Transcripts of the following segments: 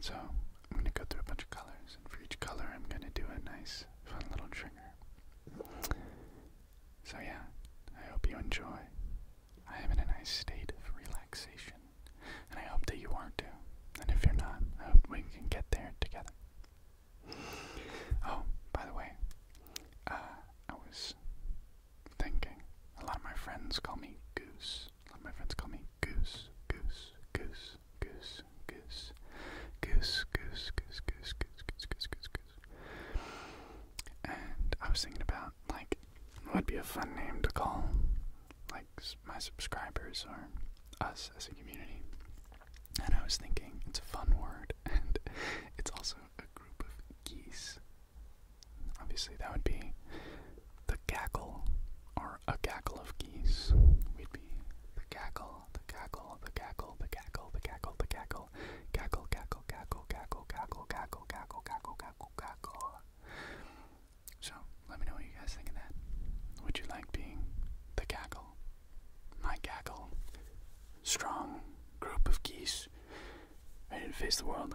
So I'm gonna go through a bunch of colors, and for each color, I'm gonna do a nice, fun little trigger. So yeah, I hope you enjoy. I am in a nice state of relaxation, and I hope that you are not too. And if you're not, I hope we can get there together. Oh, by the way, uh, I was thinking. A lot of my friends call me Goose, my friends call me Goose, Goose, Goose, Goose, Goose, Goose, Goose, Goose, Goose, Goose, Goose, Goose, Goose, Goose. And I was thinking about like what would be a fun name to call like my subscribers or us as a community. And I was thinking it's a fun word and it's also a group of geese. Obviously that would be the cackle or or a cackle of geese. We'd be the cackle, the cackle, the cackle, the cackle, the cackle, the cackle, cackle, cackle, cackle, cackle, cackle, cackle, cackle, cackle, cackle, cackle. So let me know what you guys think of that. Would you like being the cackle? My cackle. Strong group of geese ready to face the world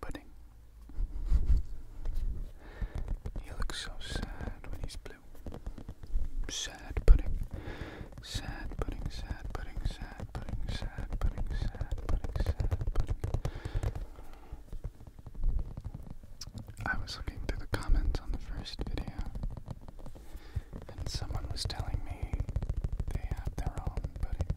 Pudding. he looks so sad when he's blue. Sad pudding. Sad pudding, sad pudding, sad pudding, sad pudding, sad pudding, sad pudding. I was looking through the comments on the first video, and someone was telling me they have their own pudding.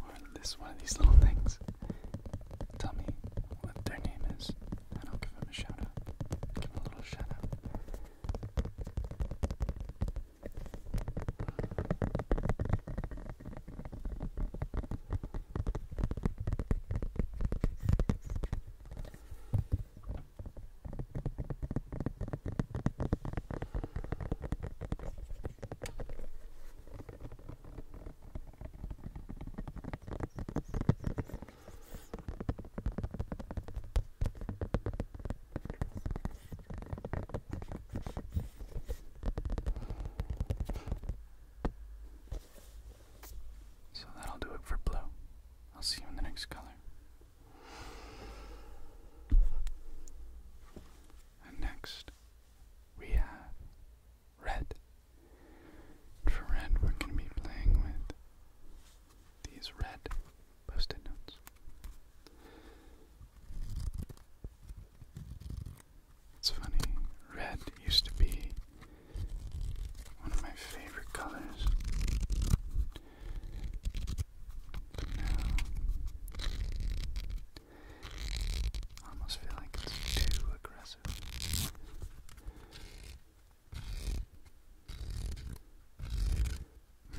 or this one of these little things. Tell me what their name is, and I'll give them a shout out. Give them a little shout out. So that'll do it for blue. I'll see you in the next color. And next, we have red. And for red, we're going to be playing with these red post-it notes. It's funny, red used to be one of my favorite colors. I almost feel like it's too aggressive.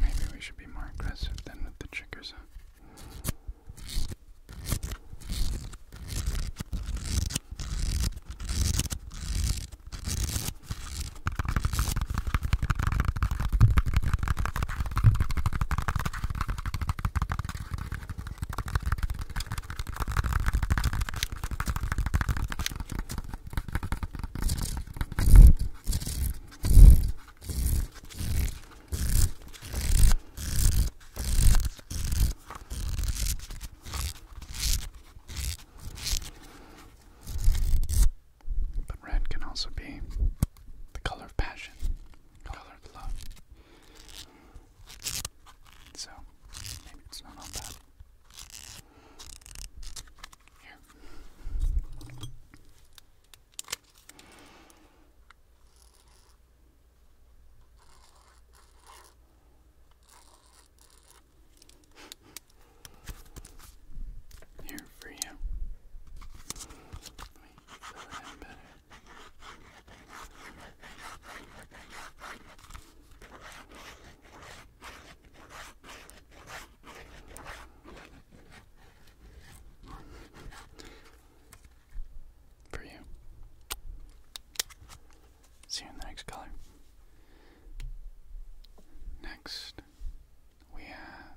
Maybe we should be more aggressive than with the triggers. But red can also be the color of passion color below. So maybe it's not all bad. Here. Here for you me For you. See you in the next color. Next, we have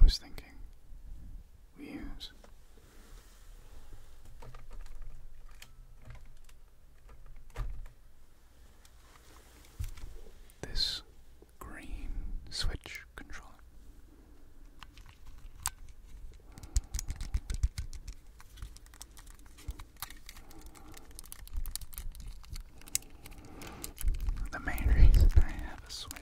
I was thinking we use. This green switch controller. The main reason I have a switch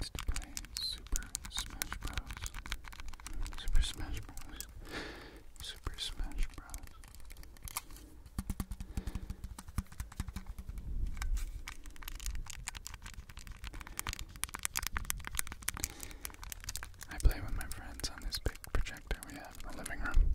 it's to play Super Smash Bros. Super Smash Bros. Super Smash Bros. I play with my friends on this big projector we have in the living room.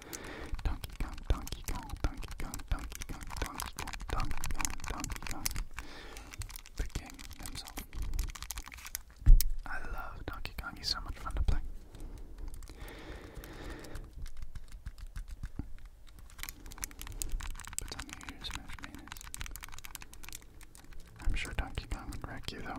Donkey Kong, Donkey Kong, Donkey Kong, Donkey Kong, Donkey Kong, Donkey Kong, Donkey Kong. The king himself. I love Donkey Kong, he's so much fun to play. But on the ears, Smash Manus. I'm sure Donkey Kong would wreck you though.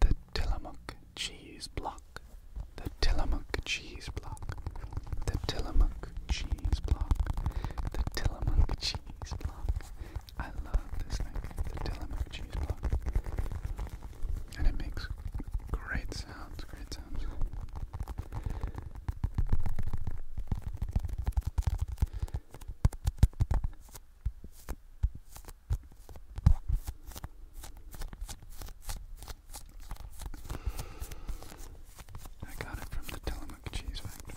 The Tillamook cheese block. The Tillamook cheese block. The Tillamook cheese block. The Tillamook cheese block. I love this thing. The Tillamook cheese block. And it makes great sounds, great sounds. I got it from the Tillamook Cheese Factory.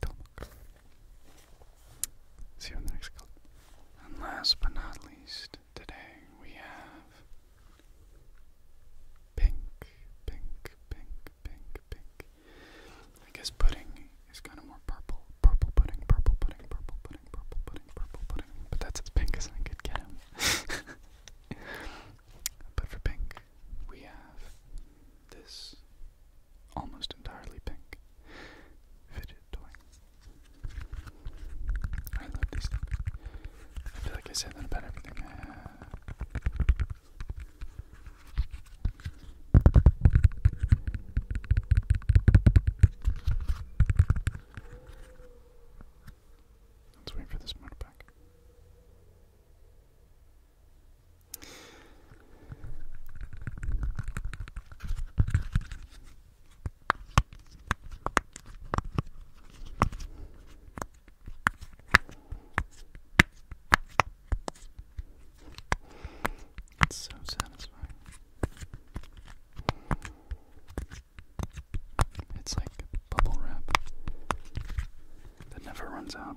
Tomok. See you in the next clip. And last but not least, today we have pink, pink, pink, pink, pink. I guess pudding is kind of more purple. Purple pudding, purple pudding, purple pudding, purple pudding, purple pudding. But that's as pink as I could get him. But for pink, we have this almost entirely pink fidget toy. I love these things. I feel like I said that about everything Let's wait for this motorbike. It's so satisfying. It's like bubble wrap that never runs out.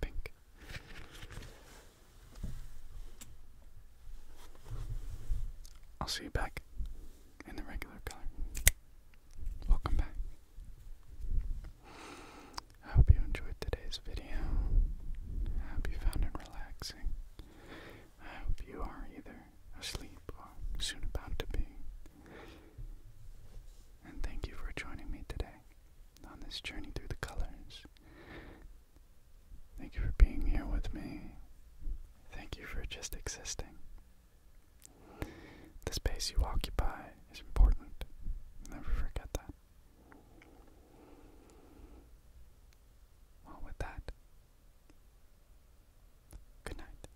pink. I'll see you back in the regular color. Welcome back. I hope you enjoyed today's video. I hope you found it relaxing. I hope you are either asleep or soon about to be. And thank you for joining me today on this journey through the colors. Thank you for being here with me. Thank you for just existing. The space you occupy is important. Never forget that. Well, with that, good night.